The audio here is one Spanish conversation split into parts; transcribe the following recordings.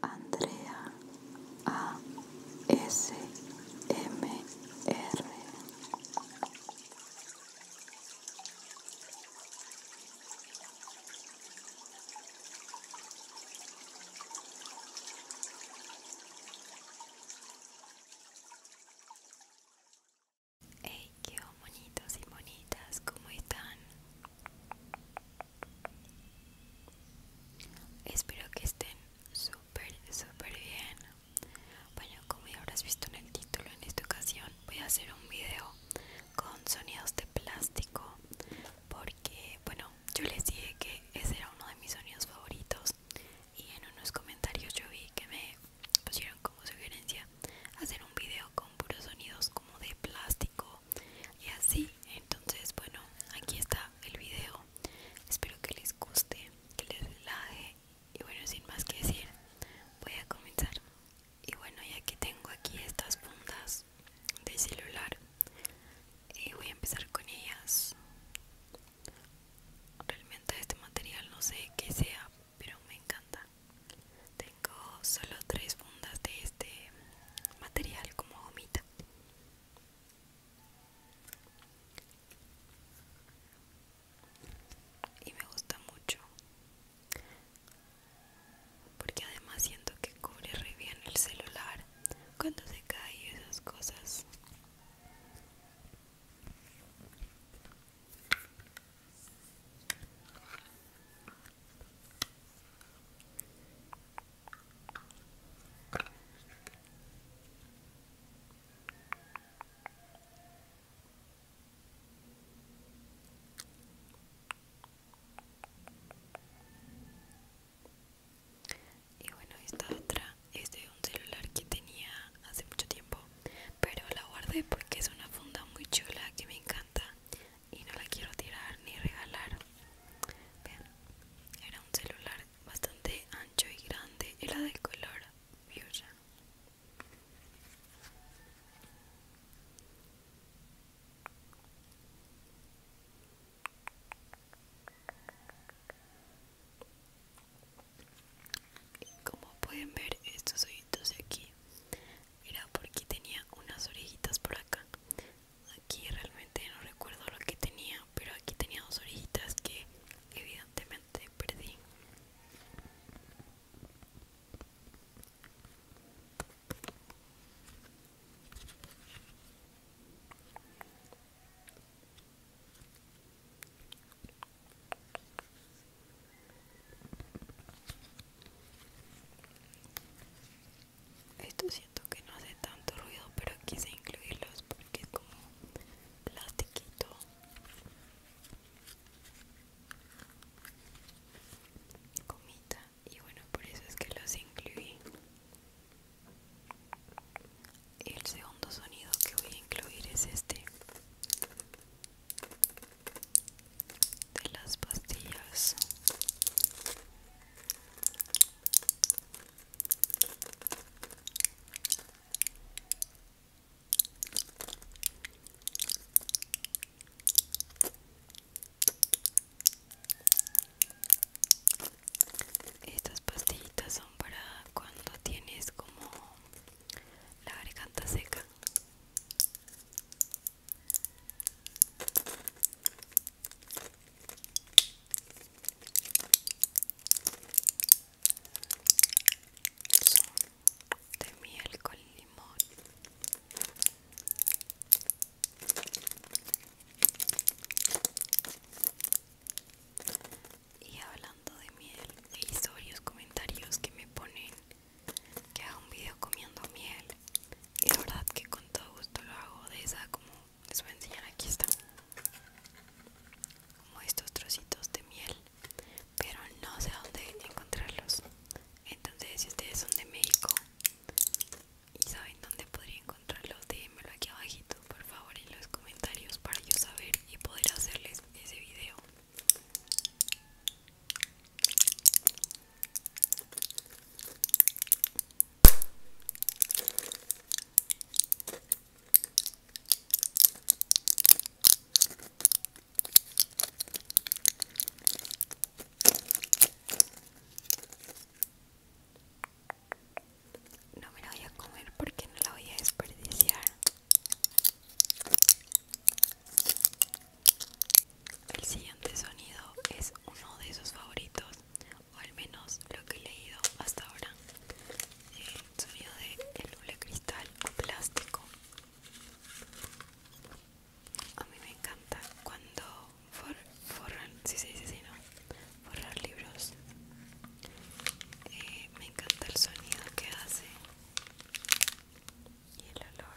Andrea ASMR Hey, qué bonitos y bonitas, ¿cómo están? Espero que estén súper, súper bien. Bueno, como ya habrás visto en el título, en esta ocasión voy a hacer un video con sonidos de plástico. Porque, bueno, yo les dije que ese era uno de mis sonidos favoritos. Y en unos comentarios yo vi que me pusieron como sugerencia hacer un video con puros sonidos como de plástico y así entonces bueno aquí está el video espero que les guste que les relaje y bueno sin más que decir voy a comenzar y bueno ya que tengo aquí estas fundas de celular y eh, voy a empezar con ellas realmente este material no sé qué sea pero me encanta tengo solo tres fundas de este material como gomita. Y me gusta mucho. Porque además siento que cubre re bien el celular cuando se cae esas cosas. Y bueno, esta otra es de un celular que tenía hace mucho tiempo, pero la guardé porque es una funda muy chula que me encanta y no la quiero tirar ni regalar. Vean, era un celular bastante ancho y grande, era del color viola. como pueden ver estos ojitos de aquí era porque tenía unas orejitas por acá aquí realmente no recuerdo lo que tenía pero aquí tenía dos orejitas que evidentemente perdí esto siento que no hace tanto ruido, pero quise incluirlos porque es como plastiquito. Y bueno, por eso es que los incluí. El segundo sonido que voy a incluir es este de las pastillas estas pastillitas son para cuando tienes como la garganta seca de miel con limón. Y hablando de miel, he visto varios comentarios que me ponen que hago un video comiendo miel y la verdad que con todo gusto lo hago de esa como les voy a enseñar aquí está como estos trocitos de miel pero no sé dónde encontrarlos entonces si ustedes son de México y saben dónde podría encontrarlos déjenmelo aquí abajito por favor en los comentarios para yo saber y poder hacerles ese video no me la voy a comer porque no la voy a desperdiciar. El siguiente sonido es uno de sus favoritos, o al menos lo que he leído hasta ahora. El sonido de el cristal o plástico. A mí me encanta cuando forran, si ¿no? Forrar libros. Eh, me encanta el sonido que hace y el olor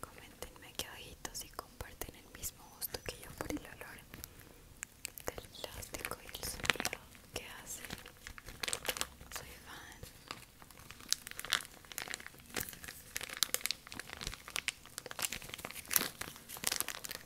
Coméntenme que ojitos y comparten el mismo gusto que yo por el olor del plástico y el sonido que hace. Soy fan.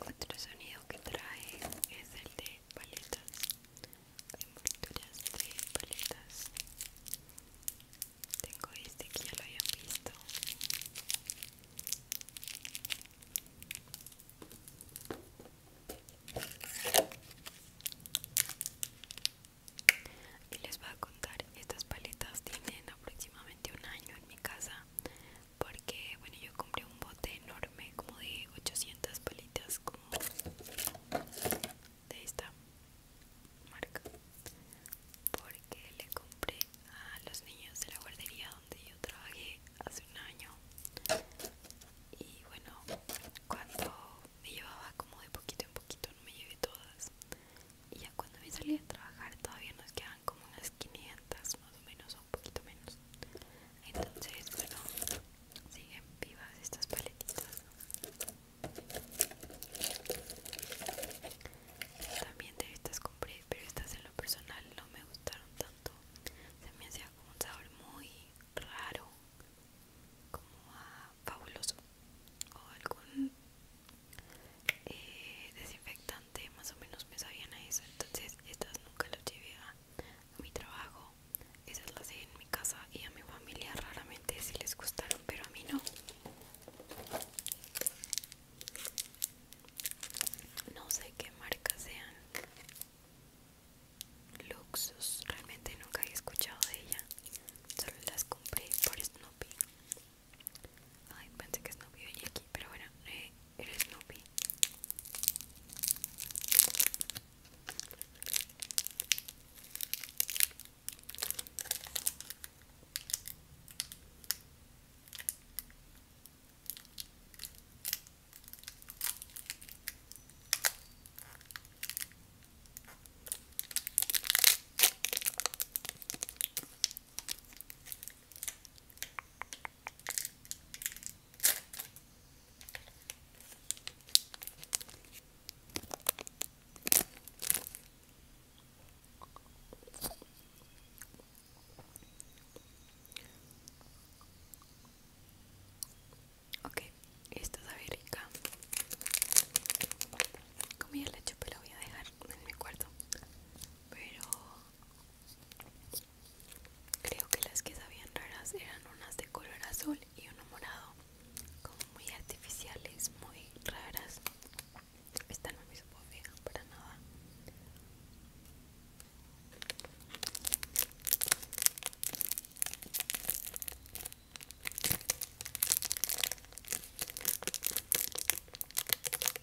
Otro sonido que trae es el de paletas, de paletas. Tengo este que ya lo habían visto. Y les voy a contar, estas paletas tienen aproximadamente un año en mi casa porque bueno yo compré un bote enorme como de 800 palitas como de esta marca porque le compré a los niños de la guardería donde yo trabajé hace un año y bueno cuando me llevaba como de poquito en poquito no me llevé todas y ya cuando me salí a trabajar todavía nos quedan como unas 500 más o menos o un poquito menos entonces bueno siguen vivas estas paletitas también de estas compré pero estas en lo personal no me gustaron tanto se me hacía como un sabor muy raro como a fabuloso o algún eh, desinfectante más o menos me sabían a eso entonces estas nunca las llevé a, mi trabajo esas las dejé en mi casa y a mi familia raramente si les gustaron pero a mí no no sé qué marca sean Luxus, realmente nunca he escuchado de ella, solo las compré por Snoopy. Ay, pensé que Snoopy y aquí, pero bueno, eh, eres Snoopy. Okay, esto sabe rica. Comí el la pero voy a dejar en mi cuarto pero creo que las que sabían raras eran unas de color azul y uno morado, como muy artificiales, muy raras. Esta no me supo para nada.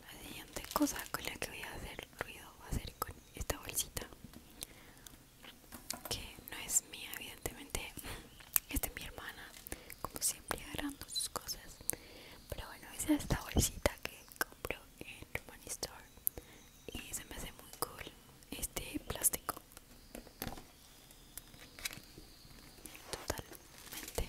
La siguiente cosa con la que voy a hacer ruido va a ser con esta bolsita que no es mía evidentemente este es de mi hermana como siempre agarrando sus cosas pero bueno es esta bolsita que compro en Money Store y se me hace muy cool este plástico totalmente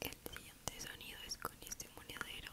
El siguiente sonido es con este monedero.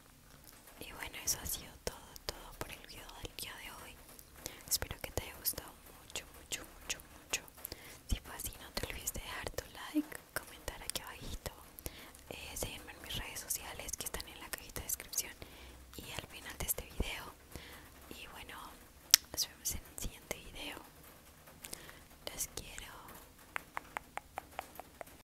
Y bueno, eso ha sido todo, todo por el video del día de hoy. Espero que te haya gustado mucho, mucho, mucho, mucho. Si fue así, no te olvides de dejar tu like, comentar aquí abajito, eh, seguirme en mis redes sociales que están en la cajita de descripción y al final de este video. Y bueno, nos vemos en el siguiente video. Los quiero.